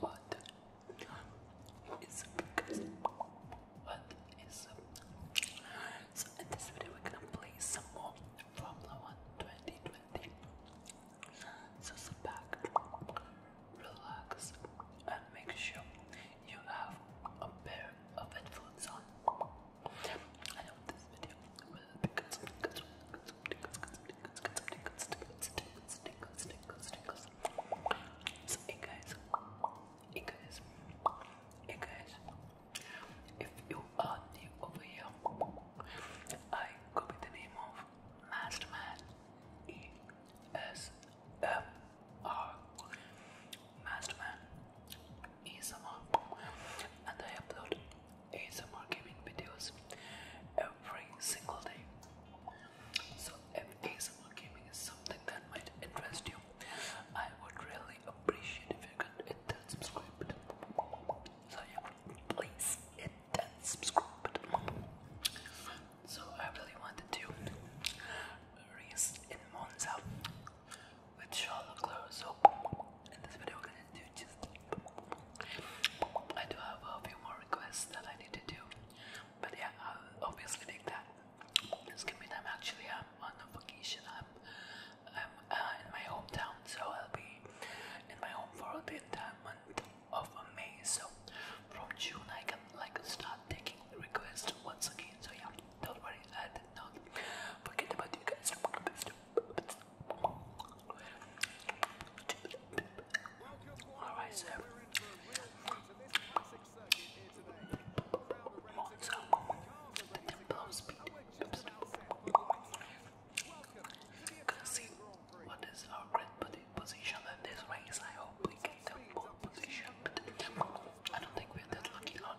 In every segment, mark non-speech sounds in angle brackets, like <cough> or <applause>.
What is up, What is So, in this video, we're gonna play some more Formula 1 2020. So, sit back, relax, and make sure you have a pair of headphones on. I hope this video will be good. good, good, good. So, hey guys, hey guys, hey guys, if you are new over here, I go the name of Masterman ESMR. Masterman ASMR and I upload ASMR gaming videos every single day. So if ASMR gaming is something that might interest you, I would really appreciate if you could hit that subscribe button. So yeah, please hit that subscribe So I really wanted to race in Monza with Charlotte Claire. So in this video, I'm gonna do just. I do have a few more requests that I need to do, but yeah, I'll obviously take that. Just give me time. Actually, I'm on vacation. I'm I'm uh, in my hometown, so I'll be in my home for the uh, entire month of May. So from June, I can like start taking requests once again. So yeah, don't worry, I did not forget about you guys. All right, sir. Monster. Blows. Oops. Gonna see what is our great position in this race. I hope we get the pole position, but I don't think we're that lucky. Lot.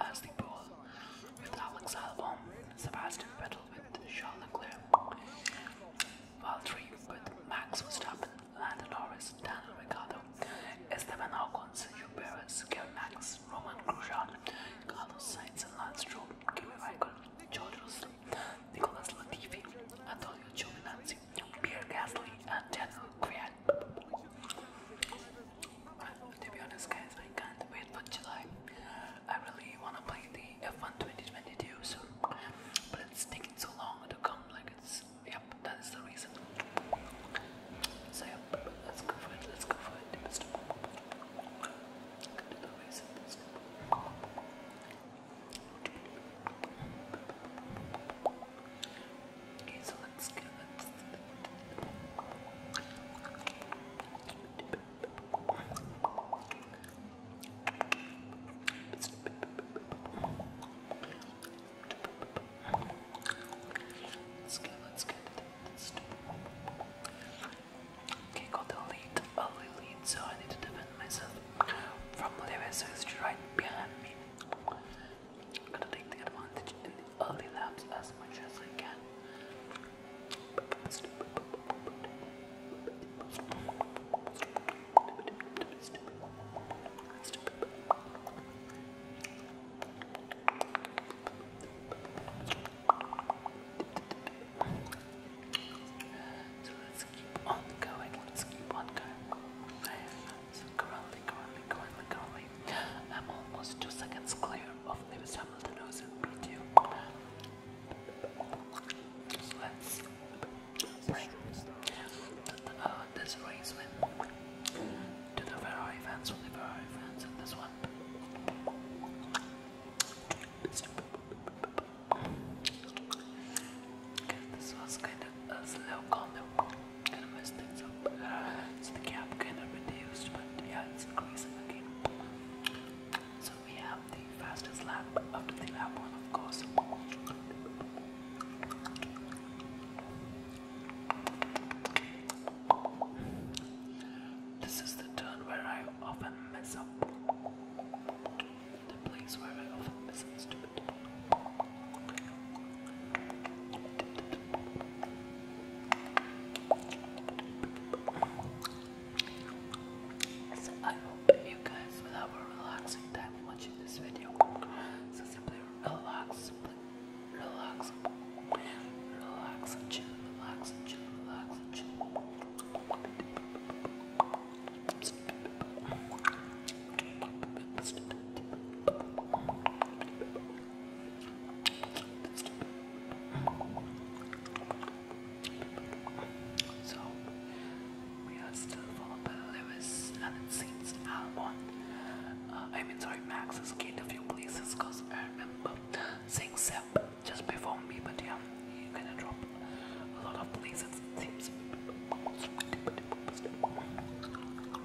Ashley Poole with Alex Albon, Sebastian Vettel with Charles Leclerc, Valtteri with Max Verstappen, Lando Norris, Daniel Ricciardo, Esteban Ocon, Sergio Perez, Kimi Raikkonen, George Russell, Nicolas Latifi, Antonio Giovinazzi, Pierre Gasly and Daniel Grant. To be honest, guys, I can't wait for July. I really wanna play the F1 2022 so, but it's taking so long to come. Like it's yep, that is the reason. So yep, let's go for it. Let's go for it. Okay, so let's go. Let's... Let's go, let's go. Let's do Okay, got the lead, a oh, lead, so I need to defend myself from Levi, so he's right behind me. I'm gonna take the advantage in the early laps as much as I can. So let's keep on going, let's keep on going hands curly, curly, curly, curly. I'm almost two seconds clear of Lewis Hamilton, who's in P2. let's bring uh, this race win to the Ferrari fans, with Ferrari fans in this one. this was kind of a slow combo. So uh, the cap kind of reduced, but yeah, it's increasing again. So we have the fastest lap after the lap one, of course. This is the turn where I often mess up. The place where I often mess up stupid. So I hope you guys will have a relaxing time watching this video. So simply relax, relax, relax and chill, relax and chill, relax and chill. So we are still followed by Lewis and it seems Albon. Uh, I mean sorry Max escaped a few places because I remember saying Sep just before me but yeah you gonna drop a lot of places it seems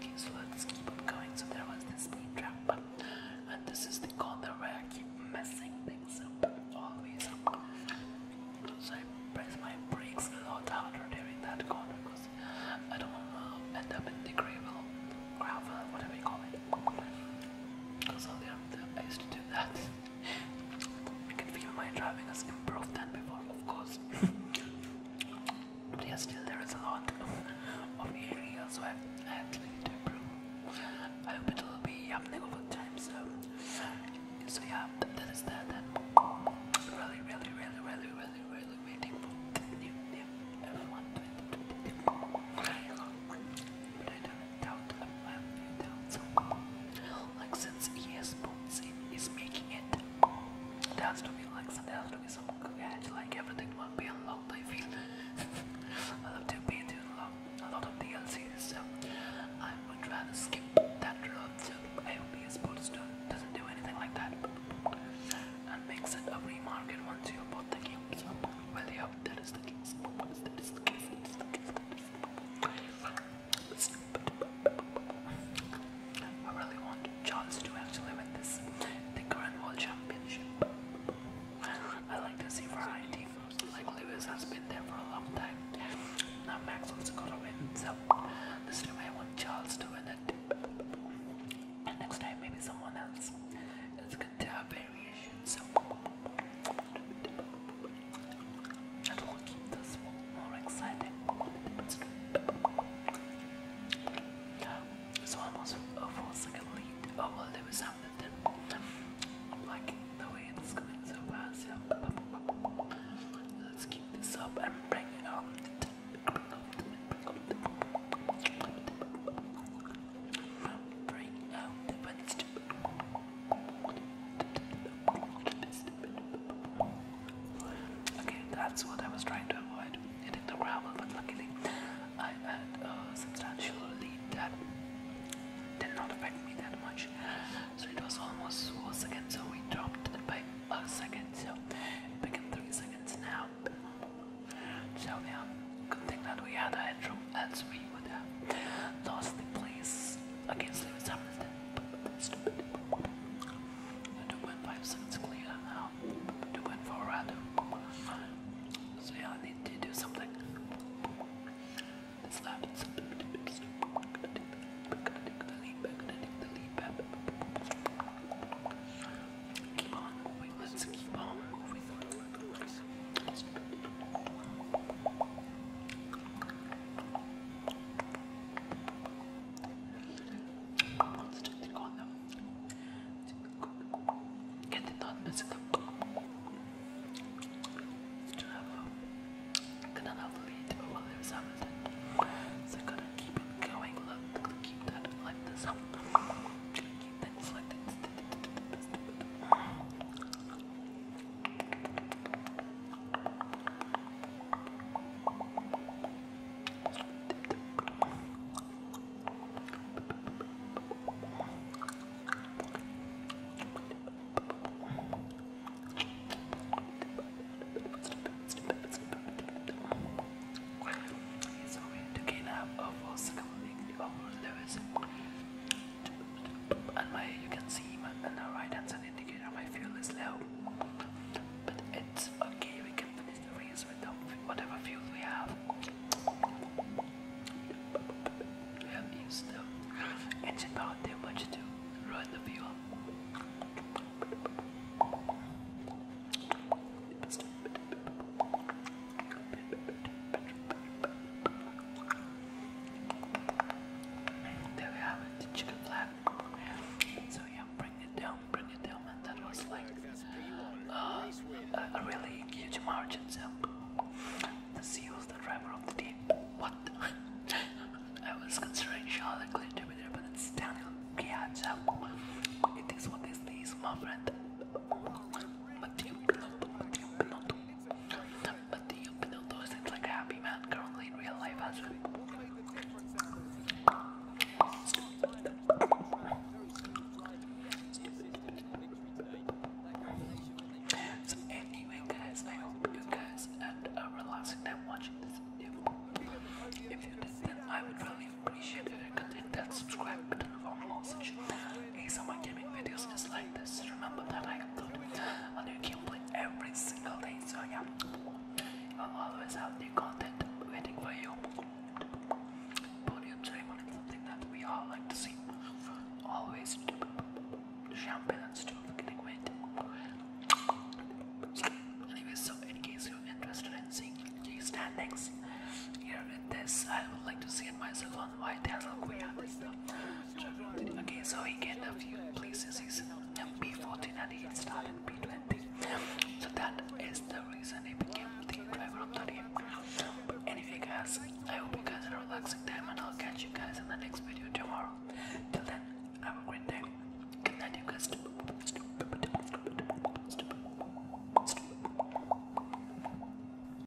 Okay, so let's keep on going. So there was this speed drop, and this is the corner where I keep messing things up, always up. I press my brakes a lot harder during that corner because I don't want to end up in the gravel, gravel, whatever you call it. Because earlier I used to do that. You <laughs> can feel my driving has improved than before, of course. <laughs> But yeah, still there is a lot of areas where I actually need to improve. I hope it will be happening over time. So, so yeah, that is that. And really, really, really, really, really, really waiting for new, new everyone. But I don't doubt I have doubts. Like since ES Sports is making it there to be like there has to be some edge, like everything must be unlocked. I feel I love to be to unlock a lot of DLCs, so I would rather skip that route. So AOP Sports doesn't do anything like that and makes it a free market once you bought the game. well, yeah, That is the case. That is the case. That is the case. I really want Charles to actually win this, the current world championship. <laughs> I like to see variety. Like Lewis has been there for a long time. Now Max also got to win, so this time I want Charles to win it. next time maybe someone else. It's good to So. And we'll keep this one more exciting. So almost a full second lead. Oh there was something. I'm liking the way it's going so fast. Let's keep this up and bring it on. Bring out the Okay, that's what I was trying to avoid hitting the gravel, but luckily I had a substantial lead that did not affect me that much. So it was almost four seconds, so we dropped it by a second, so it became three seconds now. So yeah, good thing that we had a headroom, else we would have lost the place against Lewis Hamilton. Stupid. 2.5 seconds clear now. 2.4 red. So yeah, I need to do something. This left. The lead back, the lead back. Keep on moving. Let's keep on moving. Sıcaklık koydum. Kendi tatlısı da. Kanalı bir tipi oluyor zaten. So gotta keep going. Look, keep that Keep that like this. So we took enough of all the coming of all the and my you can see my, and the right hand's an indicator my fuel is low. But it's okay, we can finish the race with the, whatever fuel we have. We have used the engine power too much to ruin the fuel. There we have it, the chicken flap. So yeah, bring it down, bring it down, and that was like uh, a, really huge margin. So the CEO the driver of the team. What? <laughs> I was considering Charlotte Clinton to there, but it's Daniel Piazza. It is what is this, my friend. Matthew, Pinotto, Matthew, Pinotto. But the Pinotto seems like a happy man currently in real life as well. So anyway guys, I hope you guys had a relaxing time watching this video. If you did then I would really appreciate it if you could hit that subscribe button for more such ASMR gaming videos just like this. Remember that I upload a new gameplay every single day. So yeah, I'll always have new content waiting for you. Podium ceremony is something that we all like to see. Always champagne and stuff getting so in case you're interested in seeing these standings here with this, I would like to see it myself Okay, so he get a few places. He's B um, 14 and he started P20. So that is the reason he became the driver of the But anyway, guys, I hope you guys are relaxing time and I'll catch you guys in the next video tomorrow. Till then, have a great day. Good night, you guys.